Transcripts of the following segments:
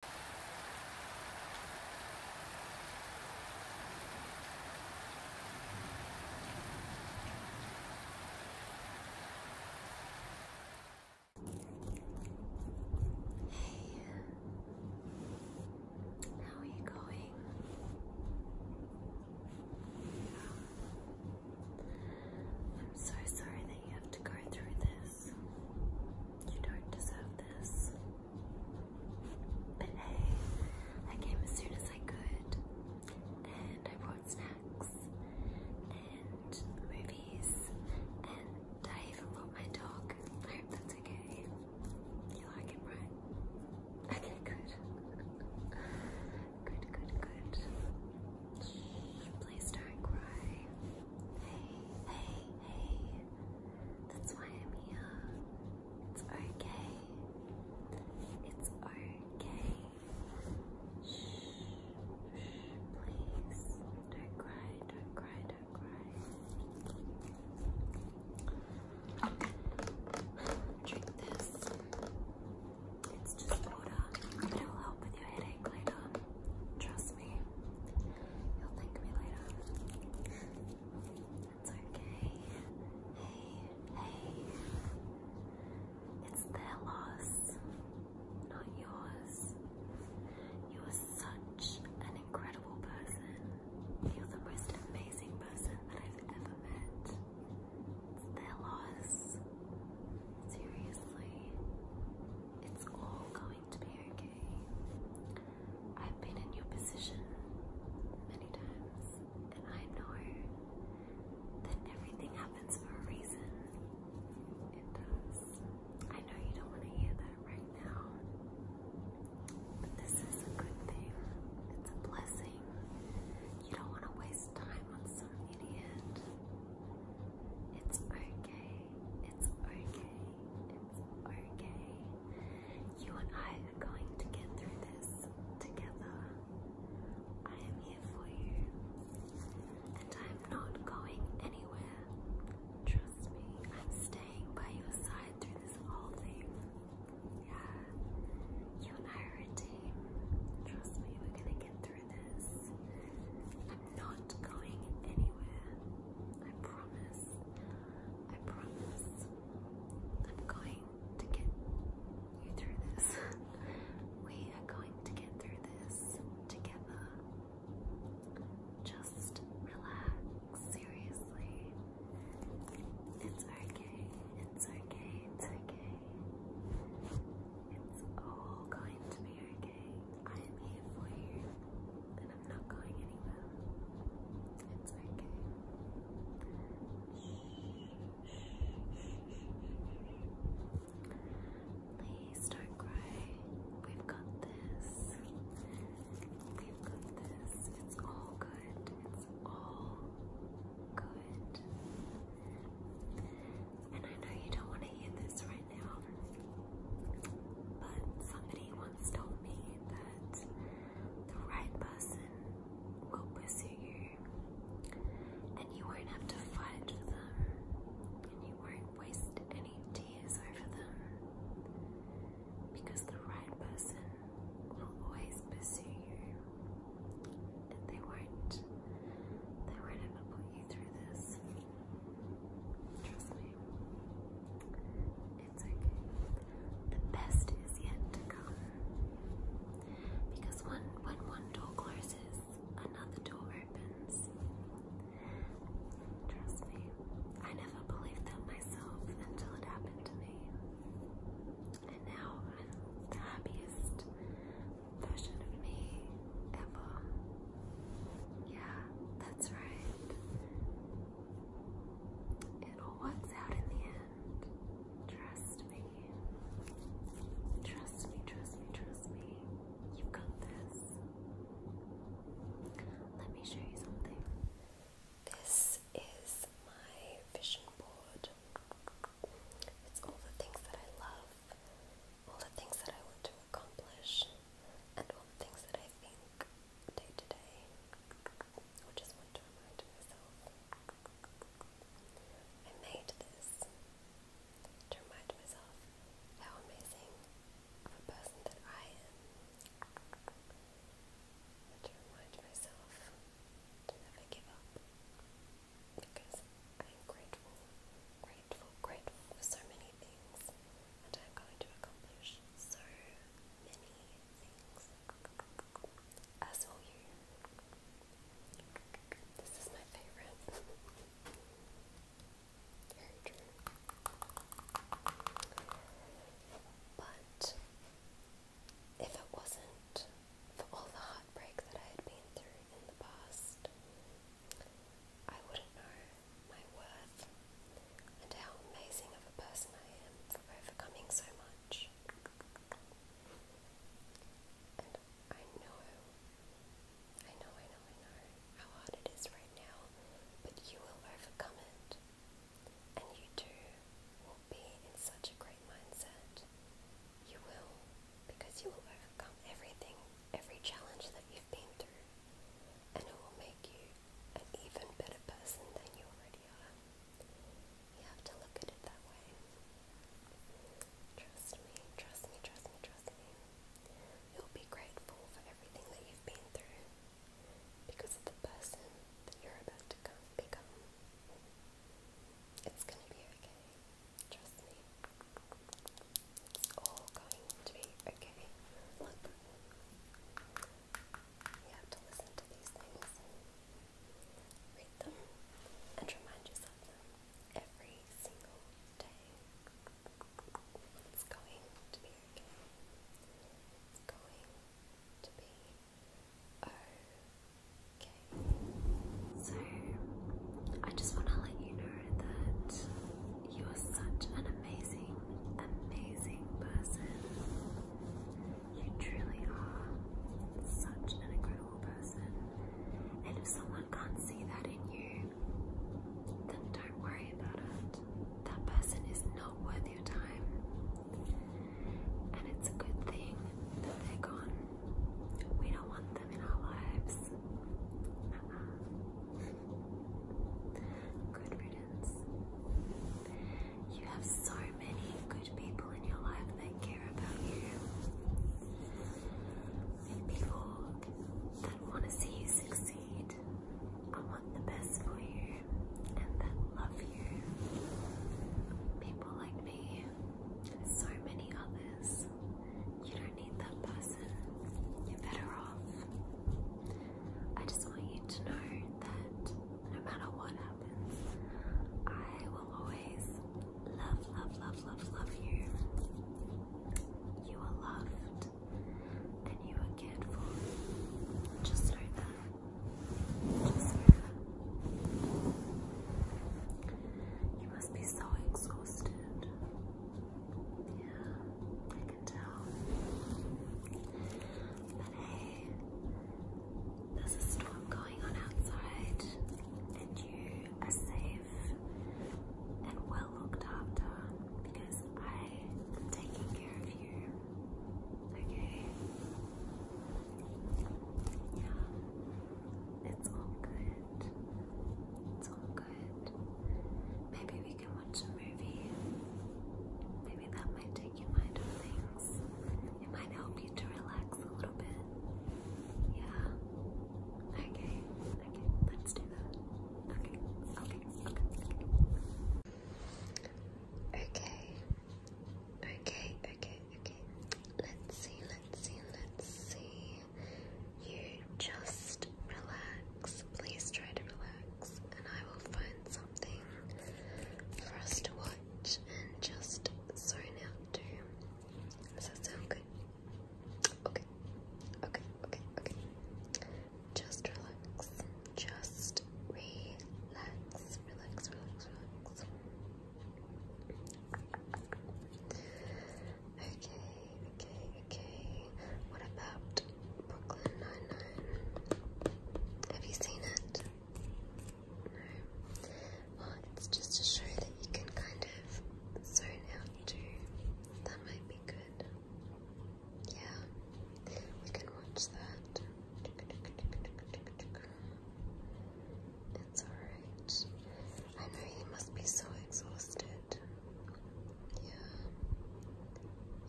Hey, how are you going? I'm so sorry that you have to go through this. You don't deserve this. But hey, I came as soon as I could, and I brought snacks and movies, and I even brought my dog. I hope that's okay. You like him, right? Okay, good. Good, good, good. Please don't cry. Hey, hey, hey. That's why I'm here. It's okay. It's okay. Shh, shh, please. Don't cry, don't cry, don't cry. Drink this. It's just water. It'll help with your headache later. Trust You'll thank me later. It's okay. Hey, hey. It's their loss, not yours. You are such an incredible person. You're the most amazing person that I've ever met. It's their loss. Seriously. It's all going to be okay. I've been in your position many times, and I know that everything happens for a reason. It does. I know you don't want to hear that right now, but this is a good thing. It's a blessing. You don't want to waste time on some idiot. It's okay. It's okay. It's okay. You and I are going to get through this together. I am here for you. And I'm not going anywhere. Trust me, I'm staying by your side through this whole thing. Yeah. You and I are a team. Trust me, we're gonna get through this not going anywhere. I promise. I promise. I'm going to get you through this. we are going to get through this together. Just relax, seriously. It's okay, it's okay, it's okay. It's all going to be I am here for you, and I'm not going anywhere. It's okay. Please don't cry. We've got this. We've got this. It's all good. It's all good. And I know you don't want to hear this right right now. But somebody once told me that the right person will pursue you and you won't have to fight for them and you won't waste any tears over them because the right person will always pursue you and they won't they won't ever put you through this. Trust me. It's okay. The best is yet to come. Because when, when one door closes, another door opens. Trust me. I never believed that myself until it happened to me. And now I'm the happiest version of me ever. Yeah, that's right. It all works out in the end. Trust me. Trust me, trust me, trust me. you got this. Let me show you something. This is my vision board. It's all the things that I love, all the things that I want to accomplish, and all the things that I've think day to day, I just want to remind myself I made this to remind myself how amazing of a person that I am, to remind myself to never give up because I am grateful, grateful, for so many things, and I'm going to accomplish so many things, as will you. This is my favorite. Very true. But if it wasn't for all the heartbreak that I had been through in the past, I wouldn't know my worth and how amazing of a person I am for overcoming so much. And I know, I know, I know, I know how hard it is right now, but you will overcome it. And you too will be in such a great mindset. You will, because you will overcome everything, every challenge that you've been through, and it will make you an even better person than you already are. You have to look at it that way. Trust me, trust me, trust me, trust me. You'll be grateful for everything that you've been through because of the person that you're about to become. It's gonna be okay. Trust me. It's all going to be okay. Look, you have to listen to these things, read them, and remind yourself every single day. It's It's going to be okay. So, I just want to let you know that you are such an amazing, amazing person. You truly are such an incredible person. And if someone can't see that in you, then don't worry about it. That person is not worth your time. And it's a good thing that they're gone. We don't want them in our lives. Uh-uh. Good riddance. You have so many good people in your life that care about you. people that want to see you succeed. I want the best for you and that love you. People like me so many others. You don't need that person. You're better off. I just want you to know that no matter what happens, I will always love, love, love, love, love you. You are loved and you are cared for. Just know that. Just know that. You must be so exhausted. Yeah, but hey, there's a storm going on outside, and you are safe and well looked after because I am taking care of you. Okay? Yeah, it's all good. It's all good. Maybe we can watch a movie. Maybe that might take your mind off things. It might help you to relax a little bit. Yeah. Okay. Okay. Let's do that. Okay. Okay. Okay. Okay. Okay. Okay. Okay. Okay. Let's see. Let's see. Let's see. You just relax. Please try to relax, and I will find something for us to watch and just zone out to. Does that sound good? Okay, okay, okay, okay. Just relax. Just relax. Relax, relax, relax. Okay, okay, okay. What about Brooklyn Nine-Nine? Have you seen it? No. Well, it's just a show that you can kind of zone out to. That might be good. Yeah, we can watch that. It's alright. I know you must be so exhausted. Yeah.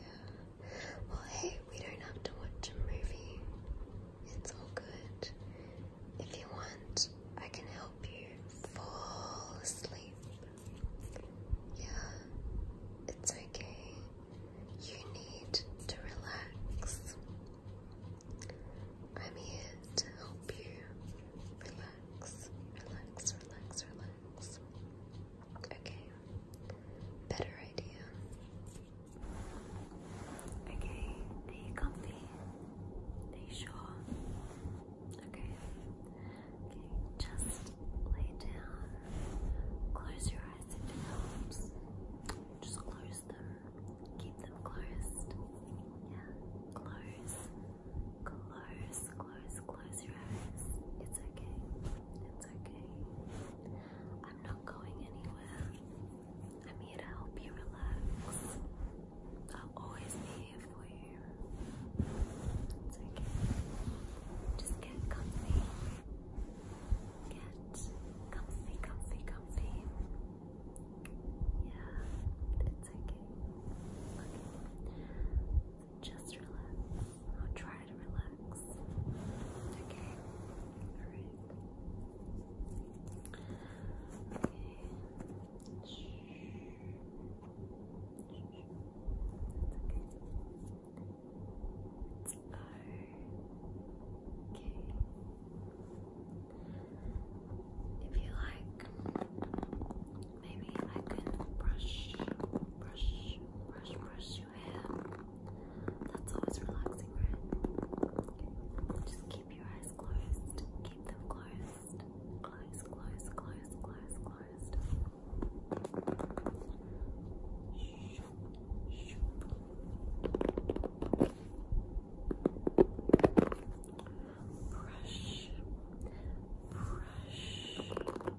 Yeah. Well, hey, we don't have to watch a movie. It's all good. If you want, I can help you fall asleep. Yeah. It's okay. You need to relax. I'm here to help you relax, relax, relax, relax. Okay. Better idea. Okay, are comfy? Are sure? Okay. Okay, just lay down. Close your eyes if it helps. Just close them. Keep them closed. Yeah. Close. Close. Close close your eyes. It's okay. It's okay. I'm not going anywhere. I'm here to help you relax. I'll always be here for you. It's okay. Just get comfy. Get comfy, comfy, comfy. Yeah, it's Okay. Just relax. I'll try to relax. Okay. Alright. Okay. Shh. okay. okay. If you like, Maybe I can brush, brush, brush, brush your hair. That's always relaxing, right? Just keep your eyes closed. Keep them closed. Close, close, close, close, close. Shoop, brush, brush,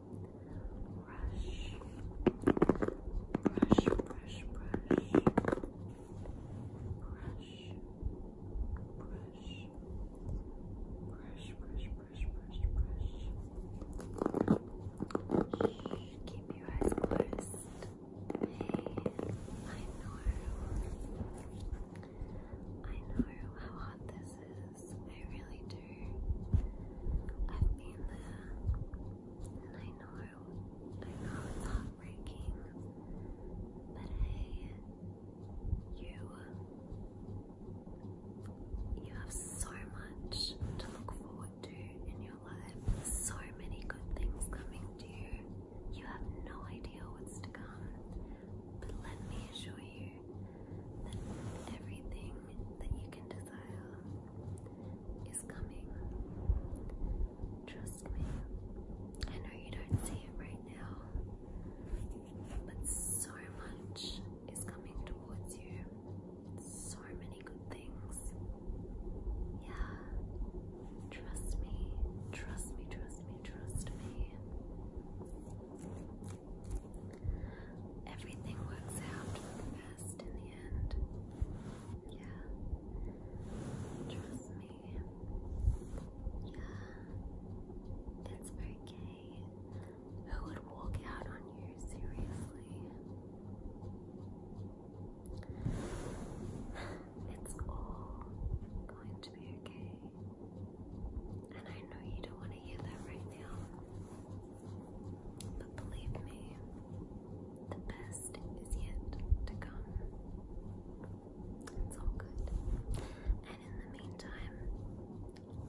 brush, brush, brush, brush, brush, brush. Brush, brush, brush, brush, brush. Keep your eyes closed. Hey, I know. I know how hot this is. I really do. I've been there, I know, I know heartbreaking, but hey, you, you have so much to look forward to in your life, so many good things coming to you. You have no idea what's to come, but let me assure you that everything that you can desire is coming. Trust me. I know you don't see it right now, but so much is coming towards you. So many good things. Yeah. Trust me. Trust me, trust me, trust me everything works out for the best in the end. Yeah. Trust me. Yeah. It's okay. Who would walk out on you seriously? It's all going to be okay. And I know you don't want to hear that right now. But believe me, the best is yet to come. It's all good. And in the meantime,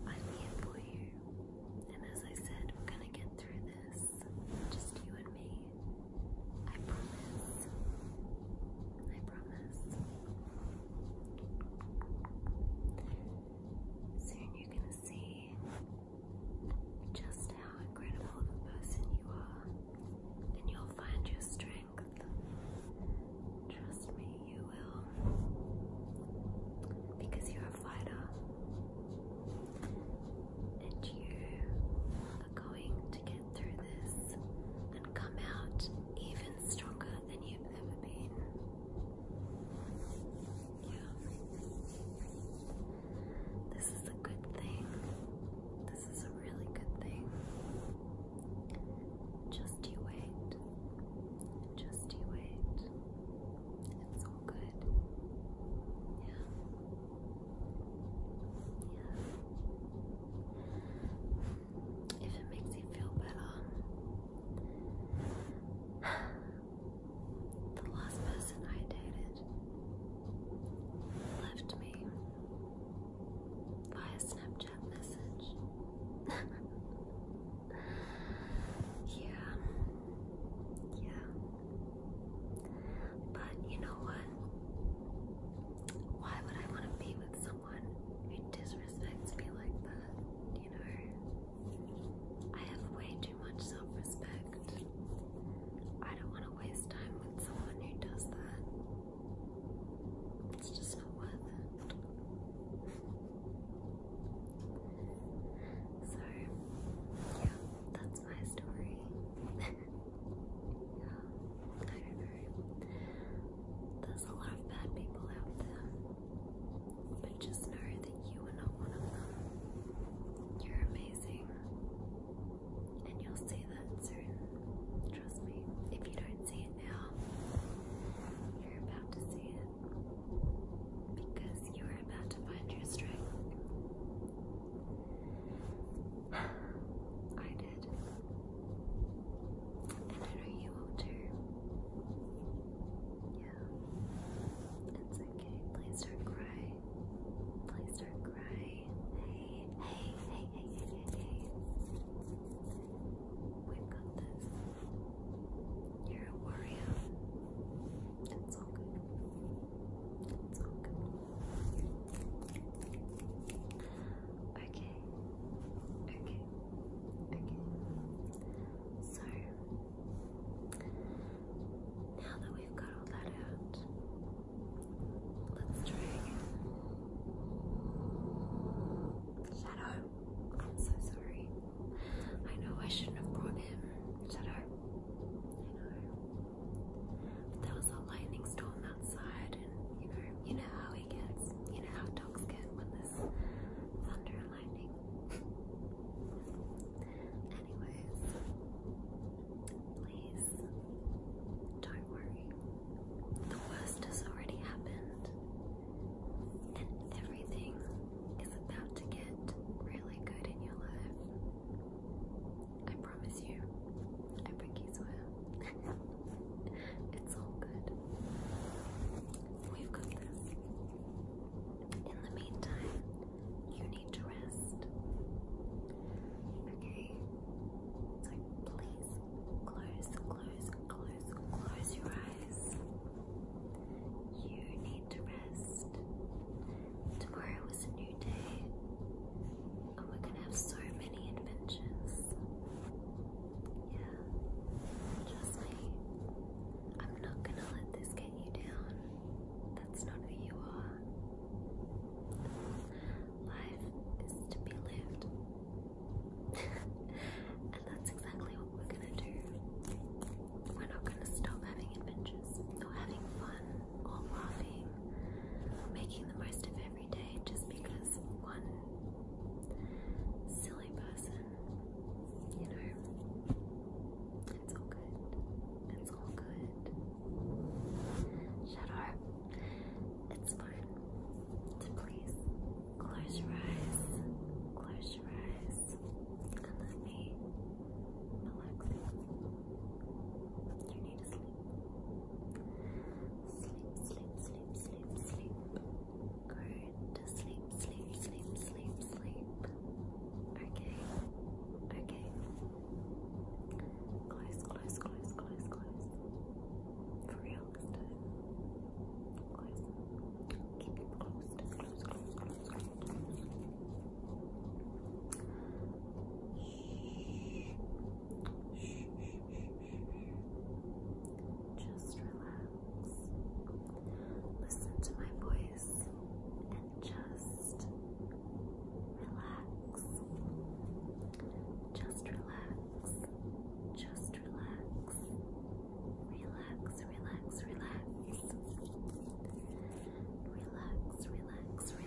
I'm here for you. And as I said, we're gonna get through this. Just you and me. I promise. I promise. Soon you're gonna see just how incredible of a person you are, and you'll find your strength. Trust me, you will. Because you're a fighter, and you are going to get through this and come out even stronger than you've ever been. This is a good thing. This is a really good thing. Just you wait. Just you wait. It's all good. Yeah. Yeah. If it makes you feel better. The last person I dated left me via Snapchat message. yeah, yeah. But you know what? Why would I want to be with someone who disrespects me like that? You know? I have way too much self respect. I don't want to waste time with someone who does that. It's just not worth it. so, that's my story. yeah, There's a lot of bad people out there. But just know that you are not one of them. You're amazing. And you'll see that soon. Trust me. If you don't see it now, you're about to see it. Because you are about to find your strength. I did. And I know you will too. Yeah. It's okay. Please don't cry. Please don't cry. Hey, hey, hey, hey, hey, hey, hey. We've got this. You're a warrior. It's all good. It's all good. Okay. Okay. Okay. So now that we've got all that out, let's try again. Shadow, I'm so sorry. I know I shouldn't have brought him. Shadow, I know. But there was a lightning storm outside, and you know, you know how he gets. You know how dogs get when there's thunder lightning. Anyways, please don't worry. The worst has already happened, and everything is about to get really good in your life. I promise you. I pinkies you. it's all good. We've got this. In the meantime, you need to rest. Okay? So please close, close, close, close your eyes. You need to rest. Tomorrow is a new day, and we're gonna have so many adventures. Yeah, trust me. I'm not gonna let this get you down. That's not who you are. Life is to be lived. and that's exactly what we're gonna do. We're not gonna stop having adventures or having fun or laughing or making the most of every day just because one silly person, you know, it's all good. It's all good. Shut up. It's fine. please close your eyes. Close your eyes. And let me relax You need to sleep. Sleep, sleep, sleep, sleep, sleep. Go to sleep sleep, sleep, sleep, sleep, Okay, okay. Close, close, close, close, close. For real Close. Keep it Close, close, close, close, close. Shh, shh, shh, shh. Just relax. Listen to my voice and just relax. Just relax. Just relax. Relax, relax, relax. Relax, relax, relax. Relax.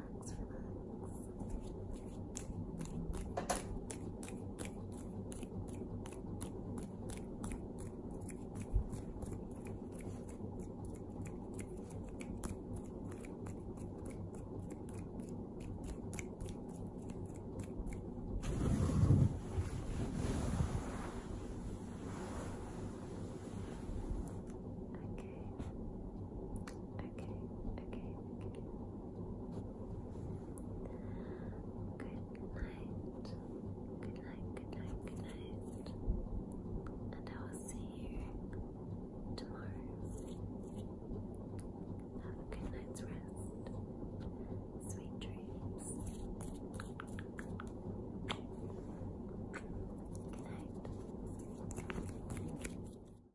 relax, relax. Okay okay, okay, okay. Good night. Good night, good night, good night. And I will see you tomorrow. Have a good night's rest. Sweet dreams. Good night.